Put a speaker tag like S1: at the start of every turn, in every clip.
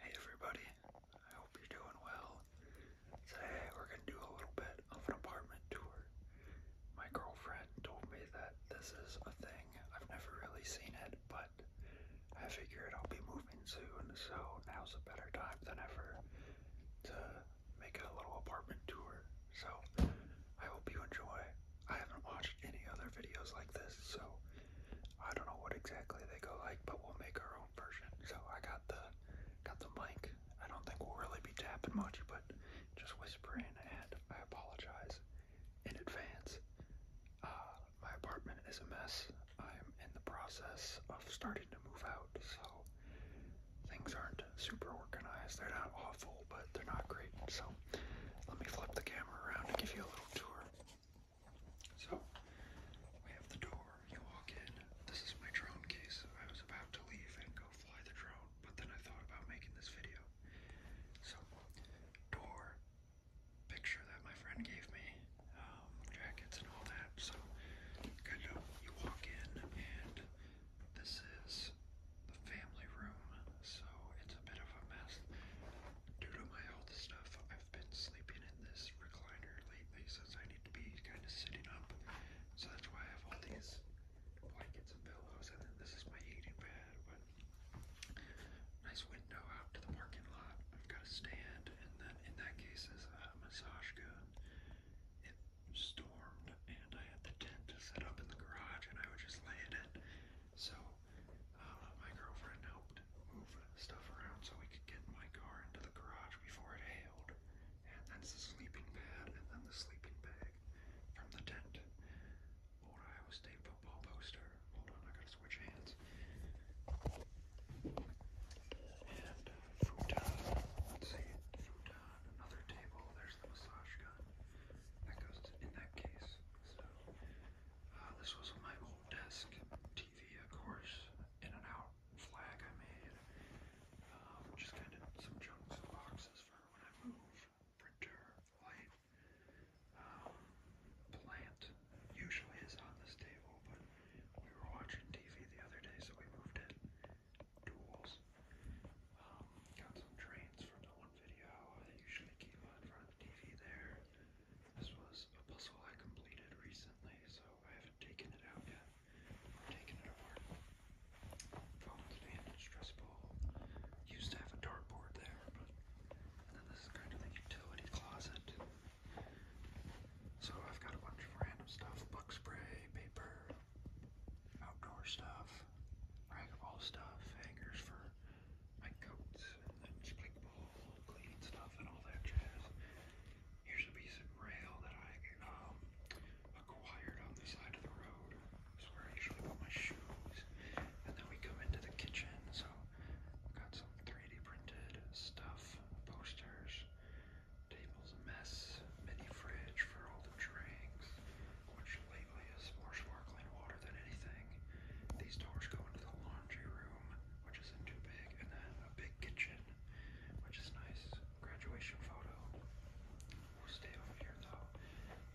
S1: Hey everybody, I hope you're doing well. Today we're going to do a little bit of an apartment tour. My girlfriend told me that this is a thing. I've never really seen it, but I figured I'll be moving soon, so now's a better time than ever to make a little apartment tour. So I hope you enjoy. I haven't watched any other videos like this, so I don't know what exactly they go like, but we'll make our own version. So I got the got the mic. I don't think we'll really be tapping much, but just whispering. And I apologize in advance. Uh, my apartment is a mess. I'm in the process of starting to move out, so things aren't super organized. They're not awful, but they're not great. So let me flip the camera around and give you a little tour. So we have the door. You walk in. This is my drone case. I was about to leave and go fly the drone, but then I thought about making this video. So door, picture that my friend gave me, um, jackets and all that. So kind you walk in and this is the family room. So it's a bit of a mess due to my health stuff, I've been sleeping in this recliner lately since I need to be kind of sitting up. So that's why I have all these blankets and pillows, and then this is my eating bed. But nice window out to the parking lot. I've got a stand, and then in that case is a massage gun. It stormed, and I had the tent set up in the garage, and I would just lay in it. So uh, my girlfriend helped move stuff around so we could get my car into the garage before it hailed. And that's the sleeping pad and then the sleeping bag from the tent. Old Iowa State football poster. Hold on, I gotta switch hands. And uh, futon. Let's see, futon. Another table. There's the massage gun. That goes in that case. So uh, this was my old desk TV, of course. In and out flag I made. Um, just kind of some chunks and boxes for when I move. Printer, light, um, plant. Usually is on this table, but we were watching TV the other day, so we moved it. Tools. Um, got some trains from the one video. I usually keep on in front of the TV there. This was a puzzle I completed recently, so I haven't taken it out yet or taken it apart. Phone's been stressful. Used to have a dartboard there, but and then this is kind of the utility closet. So I've got a bunch of random stuff, bug spray, paper, outdoor stuff, rag of all stuff, hangers for my coats and then sprinkle cleaning stuff and all that jazz. Here's a piece of rail that I um, acquired on the side of the road. This is where I usually put my shoes. And then we come into the kitchen, so I've got some 3D printed stuff, posters, table's a mess, mini fridge for all the drinks which lately is more sparkling water than anything. These doors go into the laundry room, which isn't too big, and then a big kitchen, which is nice. Graduation photo. stay over here though.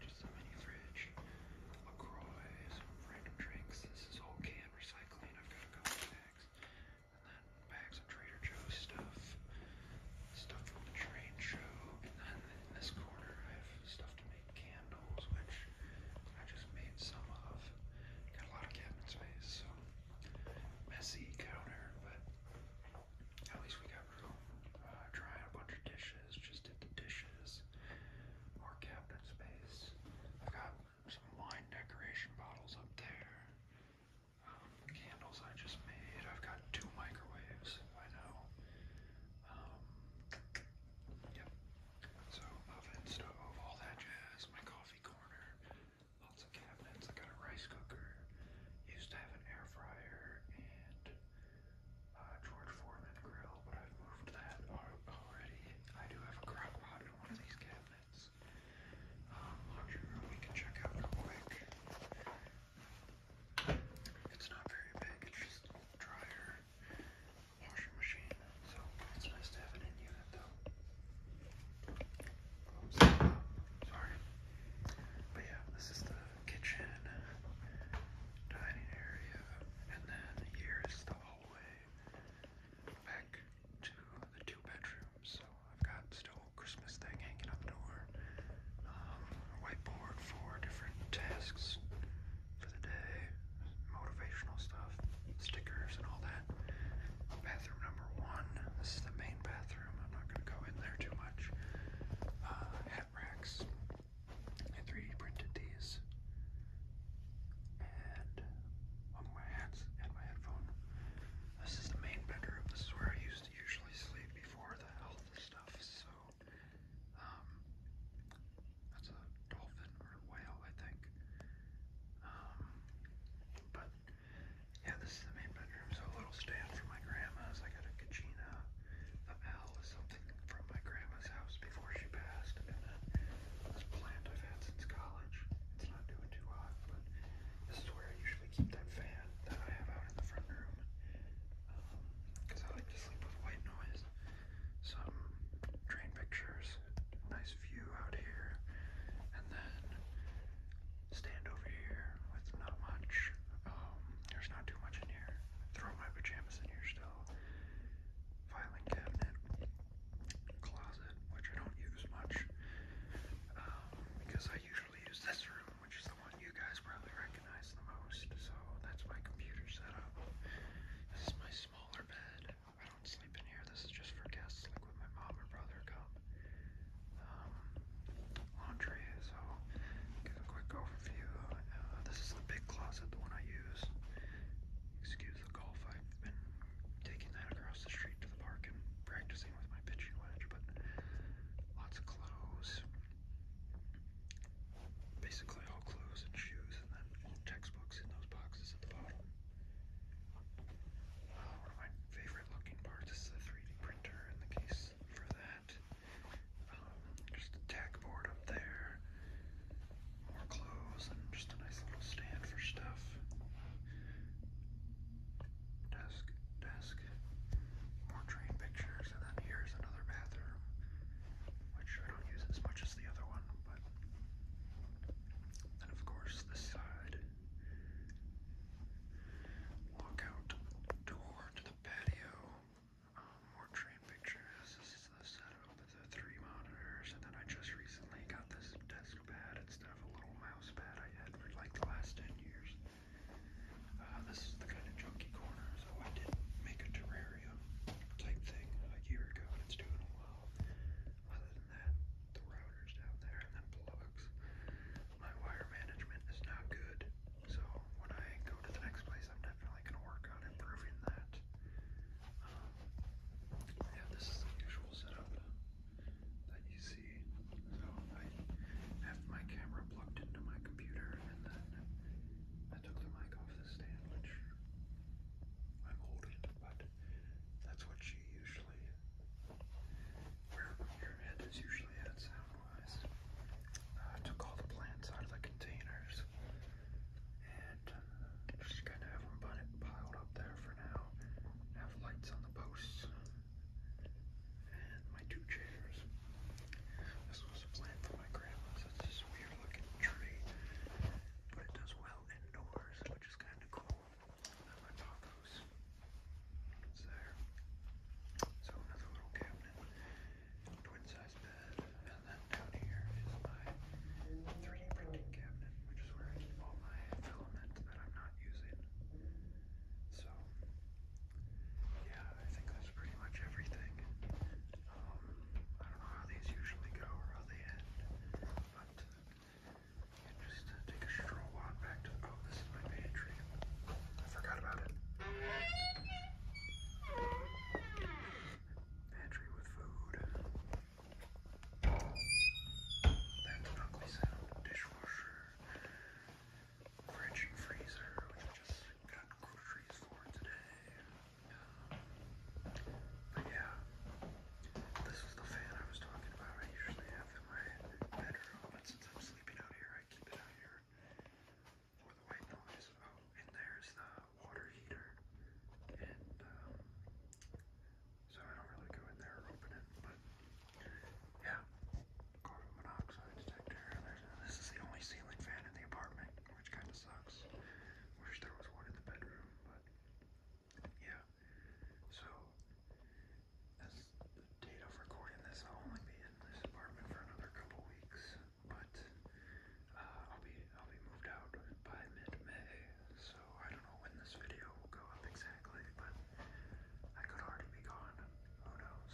S1: Just a mini fridge. a LaCroix, some random drinks. This is all can recycling. I've got a couple bags. And then bags of Trader Joe's stuff. Stuff from the train show. And then in this corner I have stuff to make make candles, which I just made some of. Got a lot of cabinet space, so messy counter, but at least we got room. Uh, trying a bunch of dishes, just did the dishes. More cabinet space. I've got some wine decoration bottles up there. Um, candles I just made. I've got two microwaves. I know. Um, Yep. So ovens, stove, all that jazz. My coffee corner, lots of cabinets. I got a rice cooker. Used to have an air fryer and uh, George Foreman grill, but I've moved that already. I do have a crock pot in one of these cabinets. Um, laundry room we can check out real quick. It's not very big, it's just a dryer, so sorry. But yeah, this is the kitchen, dining area, and then here's the hallway back to the two bedrooms. So I've got still a Christmas thing hanging up the door, um, whiteboard for different tasks for the day, motivational stuff, stickers, and all that. Bathroom number one. This is the main bathroom. I'm not going to go in there too much. Uh, hat racks. I 3D printed these. And one of my and my headphone. This is the main bedroom. This is where I used to usually sleep before the health stuff. So um, that's a dolphin or a whale, I think. Um, but yeah, this is the main bedroom. So a little stand for my grandma's. I got a kachina. The L is something from my grandma's house before she passed, and then this plant I've had since college. It's not doing too hot, but this is where I usually keep that fan that I have out in the front room. Because um, I like to some train pictures, nice view out here, and then stand over here with not much. Um, there's not too much in here. Throw my pajamas in here still. Filing cabinet, closet, which I don't use much um, because I usually use this room which is the one you guys probably recognize the most. So that's my computer setup. This is my smaller bed. I don't sleep in here. This is just for guests, like when my mom or brother come. Um, laundry. So give a quick overview. Uh, this is the big closet, the one I use. Excuse the golf. I've been taking that across the street to the park and practicing with my pitching wedge, but lots of clothes basically all clothes and shoes, and then all textbooks in those boxes at the bottom. one uh, of my favorite looking parts is the 3D printer in the case for that. Um, just a tack board up there, more clothes, and just a nice little stand for stuff. Desk, desk, more train pictures, and then here's another bathroom, which I don't use as much as the other one, but then of course this side. Walk door to the patio. Um, more train pictures. This is the setup of the three monitors, and then I just recently got this desk pad instead of a little mouse pad I had for like the last ten years. Uh, this is the kind of junky corner, so I did make a terrarium type thing a year ago, and it's doing well. Other than that, the router's down there, and then plugs. My wire management is not good, so when I go to the next place, I'm definitely going to work on improving that. Um, yeah, this is the usual setup that you see. So I have my camera plugged into my computer and then I took the mic off the stand, which I'm holding, but that's what you usually, where your head is usually at sound-wise. Uh, I took all the plants out of the containers and just kind of have them piled up there for now. Have lights on the posts and my two chairs. This was a plant for my grandma's. It's this weird looking tree, but it does well indoors, which is kind of cool. And my pathos is there. So another little cabinet, twin size bed, and then down here is my 3D printing cabinet, which is where I keep all my filament that I'm not using. So yeah, I think that's pretty much everything. Um, I don't know how these usually go or how they end, but yeah, just uh, take a stroll on back to. Oh, this is my pantry. I forgot about it. Pantry with food. That's an ugly sound. Dishwasher fridge and freezer, which I just got groceries for today. Um, but yeah, this is the fan I was talking about. I usually have in my bedroom, but since I'm sleeping out here, I keep it out here for the white noise. Oh, and there's the water heater, and um, so I don't really go in there or open it, but. Yeah, carbon monoxide detector. This is the only ceiling fan in the apartment, which kind of sucks. Wish there was one in the bedroom, but yeah. So, as the date of recording this, I'll only be in this apartment for another couple weeks, but uh, I'll be I'll be moved out by mid-May. So I don't know when this video will go up exactly, but I could already be gone. Who knows?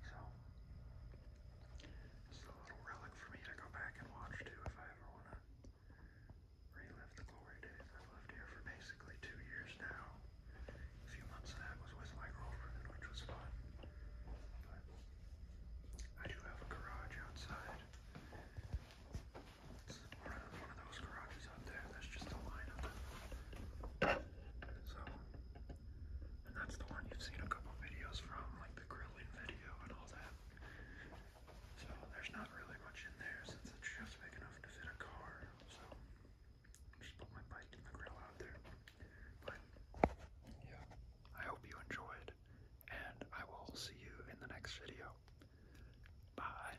S1: So, this a little relic for me to go back and watch too if I ever want to relive the glory days. I've lived here for basically two years now. A few months of that was with my girlfriend, which was fun. But I do have a garage outside. It's one of, one of those garages there. That's just a line So, and that's the one you've seen a couple videos from, like the grilling video and all that. So there's not really much in there since it's just big enough to fit a car. So just put my bike and the grill out there. But yeah, I hope you enjoyed, and I will see you in the next video. Bye.